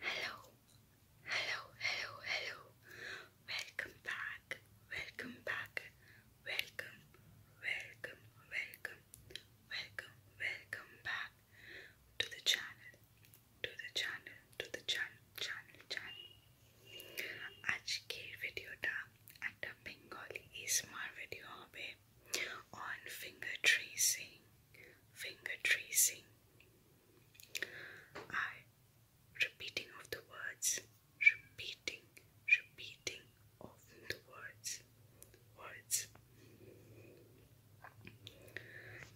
Hello, hello, hello, hello. Welcome back, welcome back, welcome, welcome, welcome, welcome, welcome back to the channel, to the channel, to the channel, channel, channel. আজকের ভিডিওটা একটা Bengali ASMR video হবে on finger tracing, finger tracing. I repeating of the words repeating, repeating often the words, words.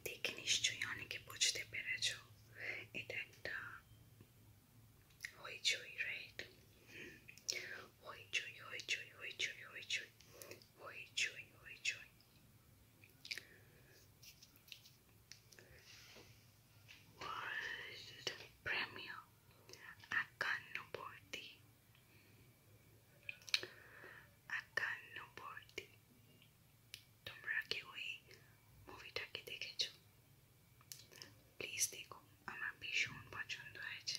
দেখে নিশ্চয়ই অনেকে বুঝতে পেরেছ এটা একটা হইচই রাইট হইচই হইচই হইচই হইচই হইচই হইচই world premiere acano por ti, acano por ti. তোমরা কেউ এই মুভিটাকে দেখেছো প্লিজ দেখো আমার ভীষণ পছন্দ হয়েছে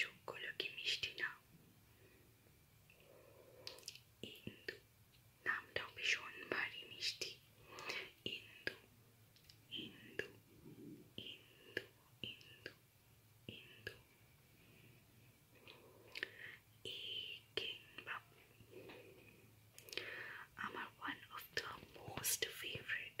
চোখগুলো কি মিষ্টি না ইন্দু নামটাও ভীষণ ভারী মিষ্টি Indu Indu Indu Indu Indu Babu. I'm one of the most favorite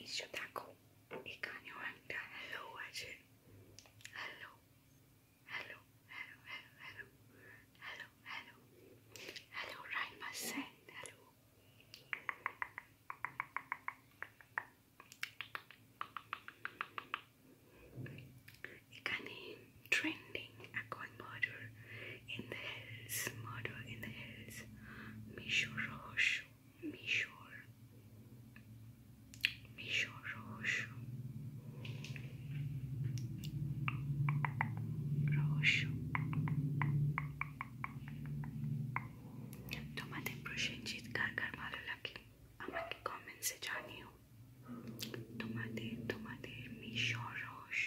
이 쇼다코 이간요 한다 hello 아지 hello hello hello hello hello hello hello hello hello 이간이 트렌딩 아콘 모드 in the hills, murder in the hills, Mishor Rohosho, Mishor, Mishor Rohosho, Rohosho. তোমাদের প্রসেনজিৎ কার কার ভালো লাগে আমাকে কমেন্টসে জানিও তোমাদের তোমাদের মিশর রহস্য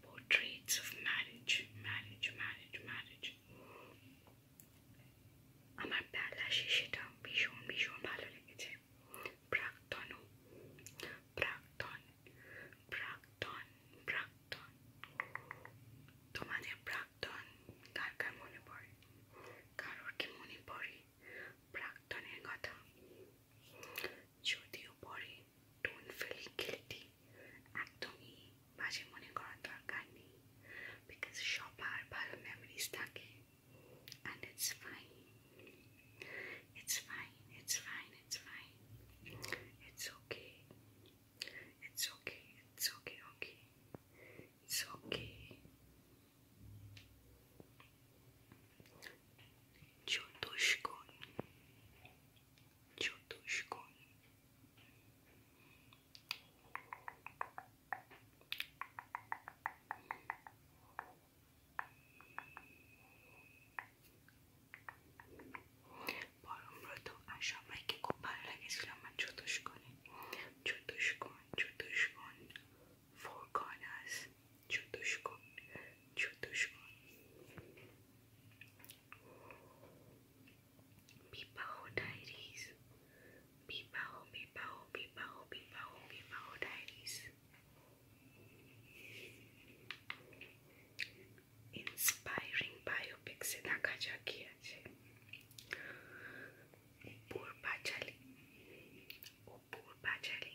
Portraits of marriage, marriage, marriage, marriage. আমার বেলা সেটা ভীষণ ভীষণ ভালো লেগেছে প্রাক্তন প্রাক্তন প্রাক্তন প্রাক্তন তোমাদের প্রাক্তন কার কার মনে পড়ে কারোর কি মনে পড়ে প্রাক্তনের কথা যদিও পরে টোন ফেলে গিলটি একদমই মাঝে মনে করার দরকার নেই বিকজ সবার ভালো মেমোরিজ থাকে and it's fine it's fine it's fine it's fine it's okay it's okay it's okay okay it's okay চতুষ্কোণ ciutuśku Baromlatom aşağıdaki kuparla gizlenme çutuşkun çutuşkun çutuşkun four corners çutuşkun çutuşkun Pipao Diaries. Pipao, Pipao, Pipao, Pipao, Pipao Diaries. Inspiring biopics se দেখা যাক কি আছে পূর্বাচালী ও পূর্বাচালী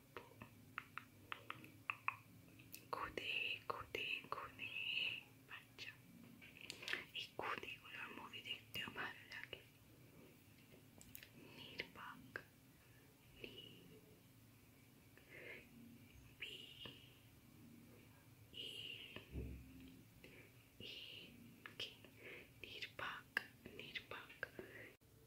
Cutie, cutie, cutie. Pacha. এই কুটিগুলোর মুভি দেখতেও ভালো লাগে নির্বাক নি বি ই ই নির্বাক নির্বাক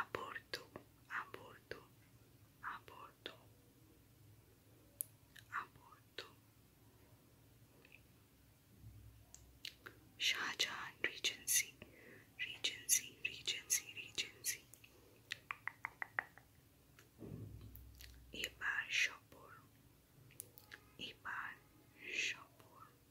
aborto, aborto, aborto, aborto. Shah Regency, Regency, Regency, Regency. Ebar Shopur, Ebar Shopur.